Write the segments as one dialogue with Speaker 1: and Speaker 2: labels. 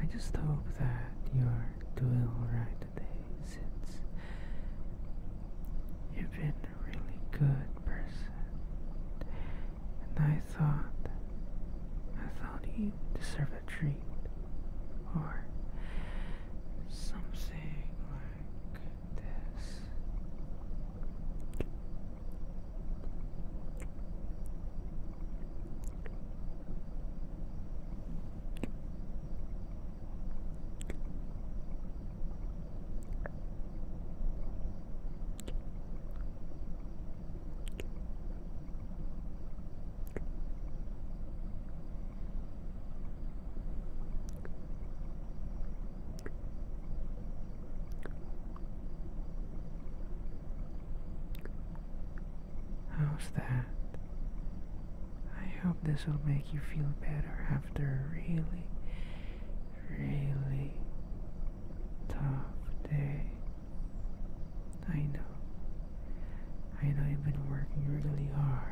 Speaker 1: I just hope that you're doing right today you've been a really good person. And thought, I thought you deserved a treat, or something like this. How's that? I hope this will make you feel better after a really, really tough day. I know. I know you've been working really hard.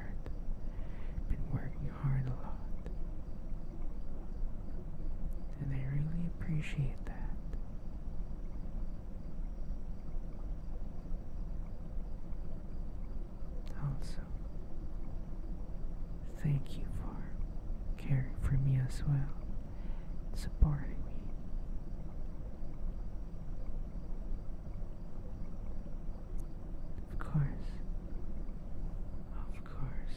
Speaker 1: Been working hard a lot. And I really appreciate that. Also, thank you for caring for me as well supporting me. Of course, of course.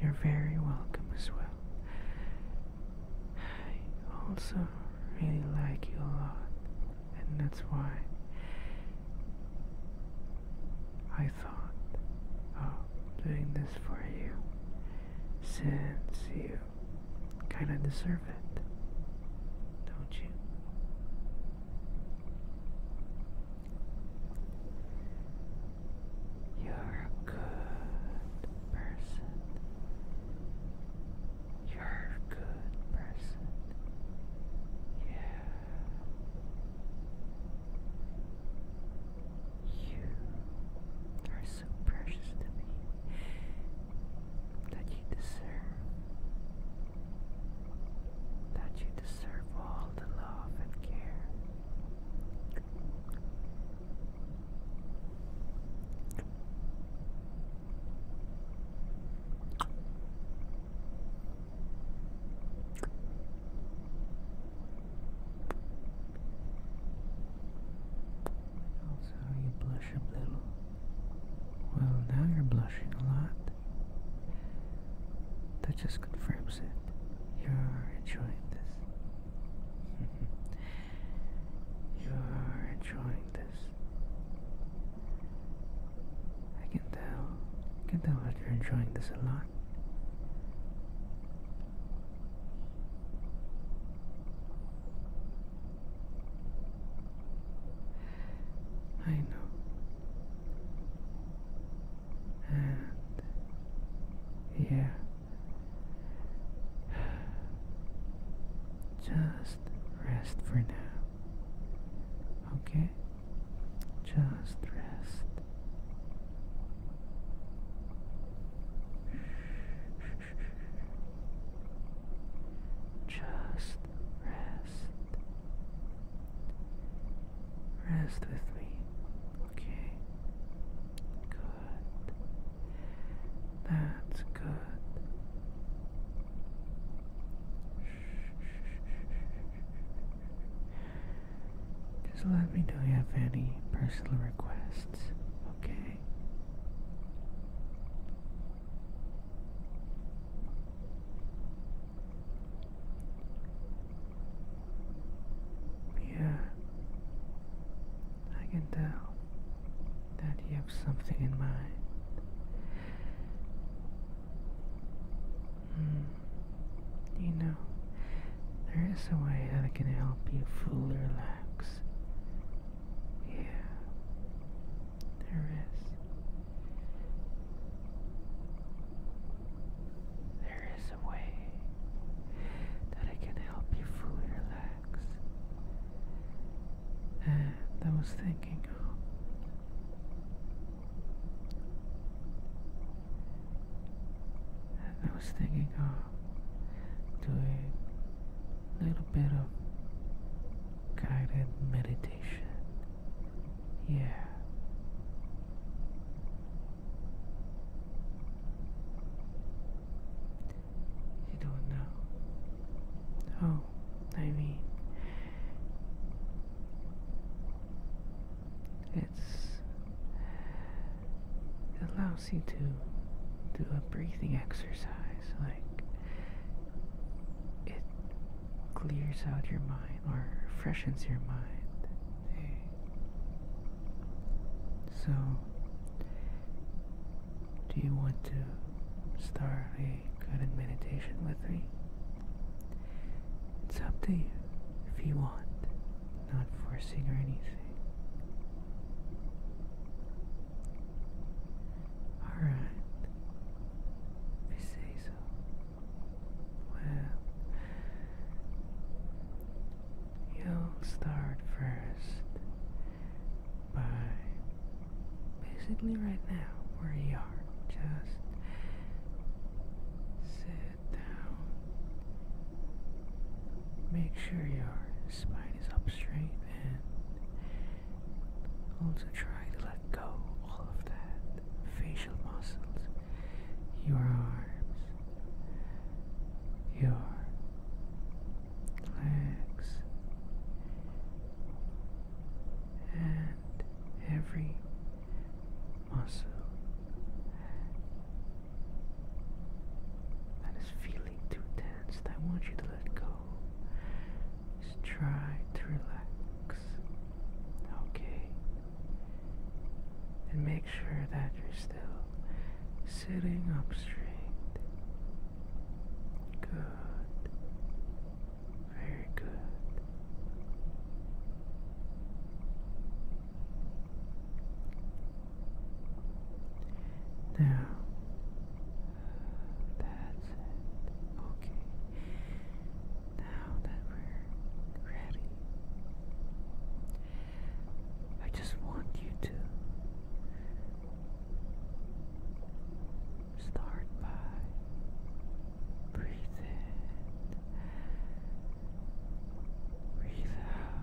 Speaker 1: You're very welcome as well. I also really like you a lot, and that's why I thought of doing this for you since you kind of deserve it, don't you? You're a good person. You're a good person. Yeah. You are so precious to me that you deserve that you deserve all the love and care also, you blush a little. Well, now you're blushing a lot. That just confirms it. You're enjoying this. you're enjoying this. I can tell. I can tell that you're enjoying this a lot. I know. And yeah. Just rest for now. Okay? Just rest. Just rest. Rest with me, okay? Good. That's good. Just let me know if you have any personal requests okay? Yeah, I can tell that you have something in mind. Mm. You know, there is a way that I can help you fully relax relax. Yeah, there is. There is a way that I can help you fully relax. And I was thinking And I was thinking of doing a little bit of guided meditation. Yeah. You don't know. Oh, I mean, it's it allows you to do a breathing exercise, like it clears out your mind or freshens your mind. So, do you want to start a guided meditation with me? It's up to you if you want not forcing or anything. Alright, if you say so. Well, you'll start first by basically right now where you are. Just sit down Make sure your spine is up straight and also try to let go all of that facial muscles, your arms, your legs, and every muscle that is feeling too tense I want you to let go. Just try to relax. Okay. And make sure that you're still sitting up straight. Good. Very good. Now, that's it. Okay. Now that we're ready, I just want you to start by breathe breathe out.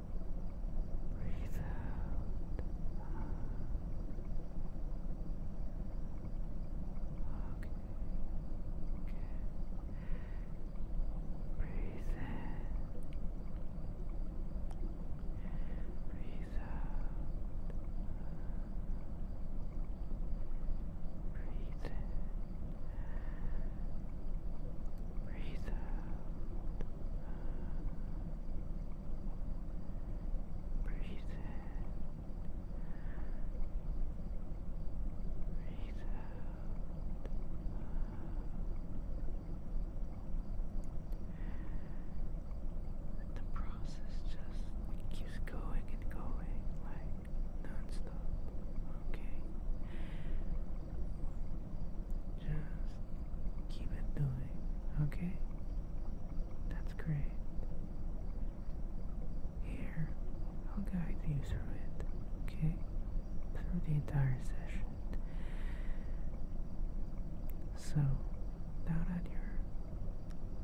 Speaker 1: Breathe out. Okay. Okay. Breathe in. Breathe out. Breathe in. Breathe out. Breathe in. Breathe the process just keeps going and going like non Okay. Just keep it doing, okay? That's great. Here, I'll guide you through it, okay? Through the entire session. So, now that you're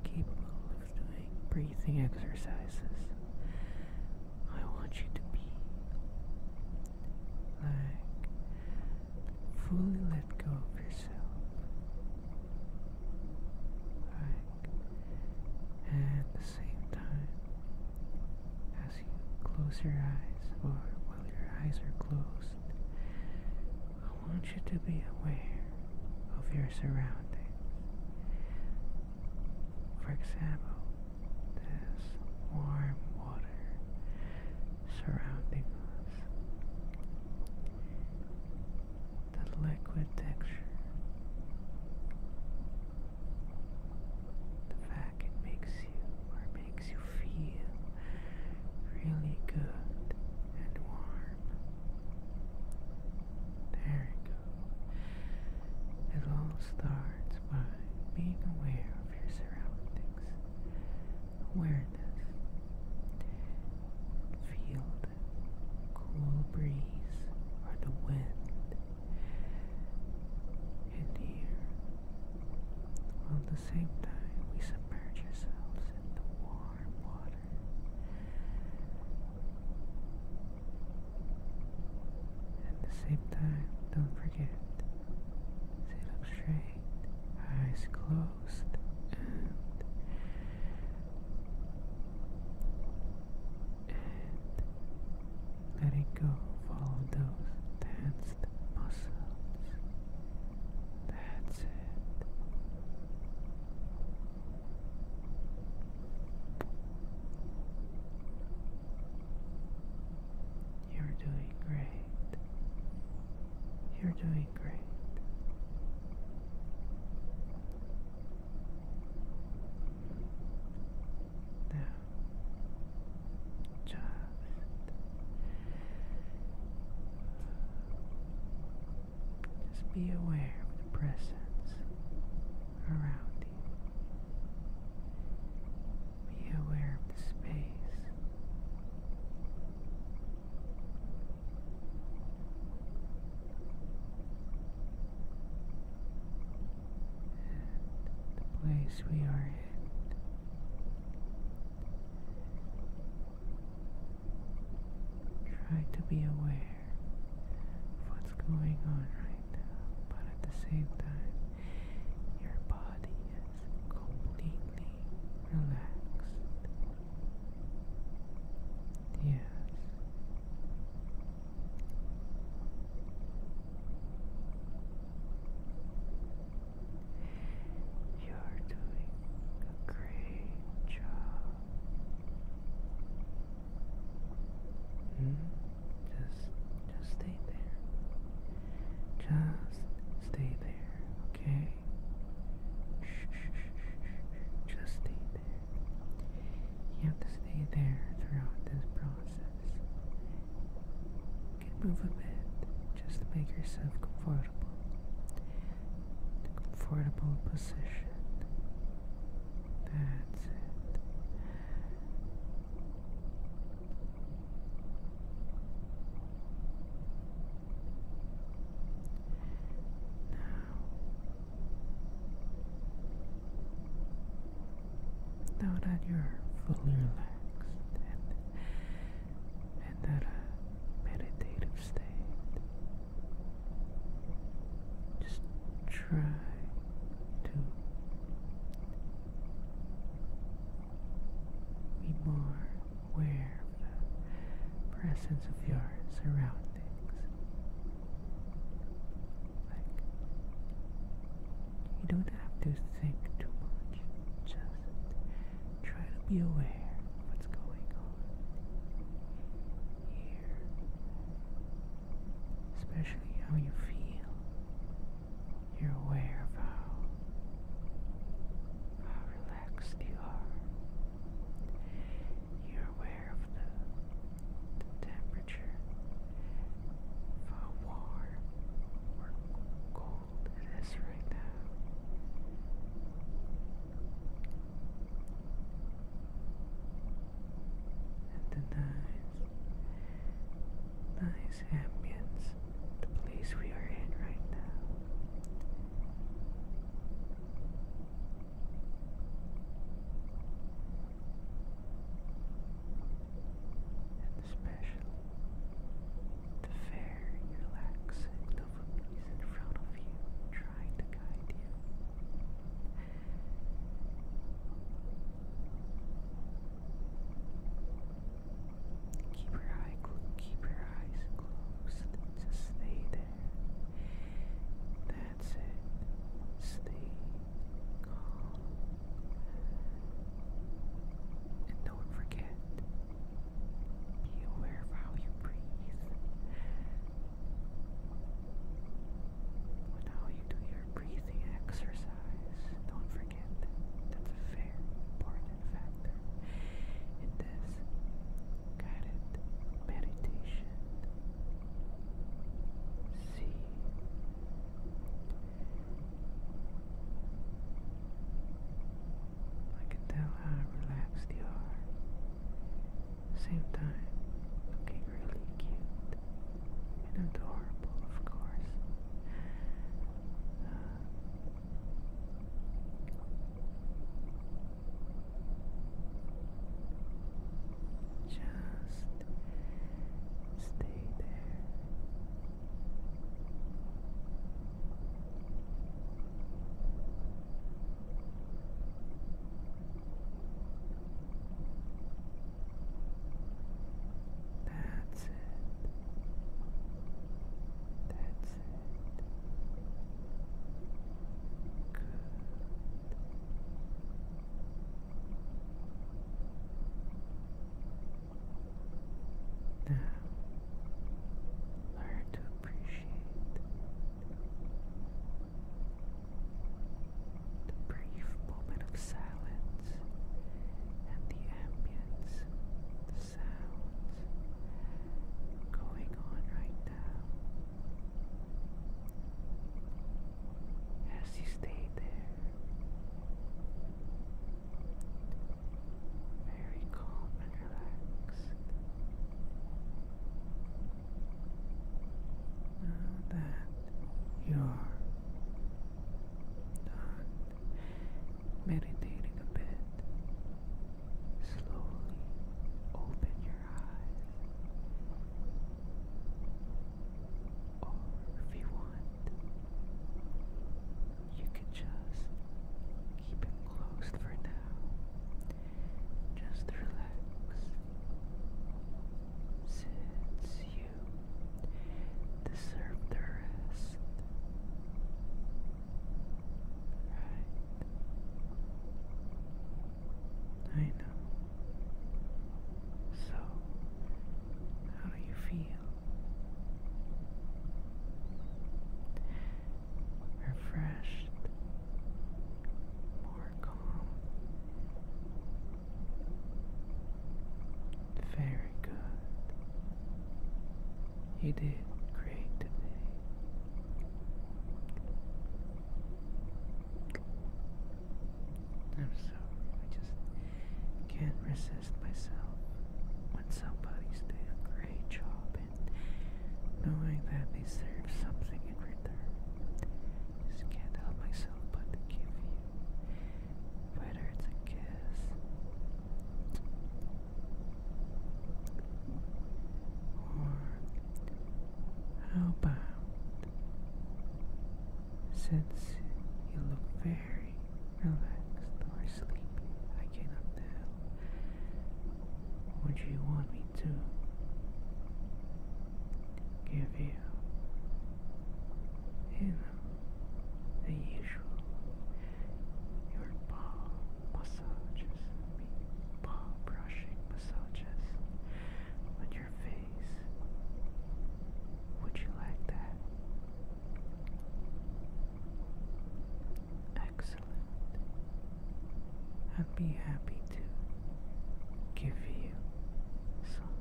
Speaker 1: capable of doing breathing exercises, I want you to be like fully let go of yourself. Right. And at the same time, as you close your eyes, or while your eyes are closed, I want you to be aware of your surroundings. For example, this warm water surrounding us. The liquid texture, the fact it makes you or makes you feel really good and warm. There you go. It all starts by being aware of your surroundings awareness. Feel the cool breeze or the wind in the at the same time, we submerge ourselves in the warm water. At the same time, don't forget, sit up straight, eyes closed host and and letting go follow those tensed muscles. That's it. You're doing great. You're doing great. Now, just just be aware of the presence around you. Be aware of the space the place we are in. Try to be aware of what's going on right now, but at the same time, your body completely relaxed. Yes. You're doing a great job. -hmm. Just, just stay there. Just stay there, okay? Shh, shh, shh, Just stay there. You have to stay there throughout this process. You can move a bit just to make yourself comfortable. comfortable position. That's it. Now, now that you're fully relaxed and, and at uh, meditative state, just try to be more aware the presence of your surroundings. Like, you don't have to think too much, just try to be aware of what's going on here, especially how you feel. You're aware of how how ah, relaxed you are. You're aware of the, the temperature, how warm or cold it is right now. And the nice, nice ambience the place we are in right now. And especially the fair, relaxing novelties in front of you, trying to guide you. Keep your eye keep your eyes closed. Just stay there. That's it. Stay calm. And don't forget. Be aware of how you breathe. When how you do your breathing exercise. Don't forget That's very important factor in this guided meditation. See I can tell how relaxed you are. Same time, looking really cute and adorable, of course. Uh, just stay there. That's it. That's Good. Now, learn to appreciate the brief moment of silence and the ambience, sounds going on right now as you stay there, very calm and relaxed. Now that you're done meditating a bit, slowly open your eyes. if you want, you can just keep it closed for now. Just relax. Since you deserve the rest, I know. So, how do you feel? Refreshed, more calm. Very good. You did great I'm sorry, I just can't resist myself when somebody's doing a great job and knowing that they serve something in return. just can't help myself but give you, whether it's a kiss how about since you look very relaxed or sleepy, I cannot tell. Would you want me to give you, you the usual your paw massages, paw brushing massages on your face. Would you like that? Excellent. I'd be happy to give you some.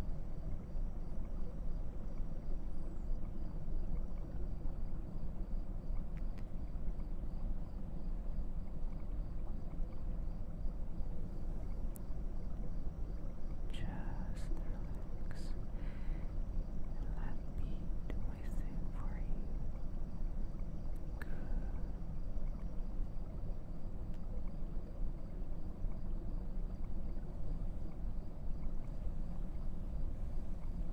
Speaker 1: Just relax let me do my thing for you. Good.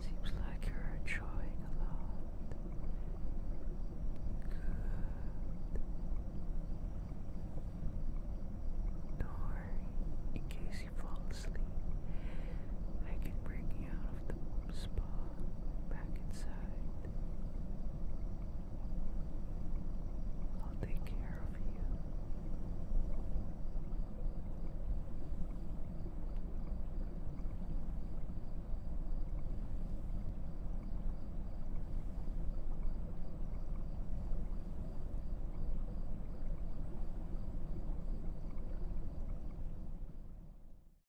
Speaker 1: Seems like you're enjoying a lot. Good. Don't worry, in case you fall asleep, I can bring you out of the spa back inside. I'll take care of you.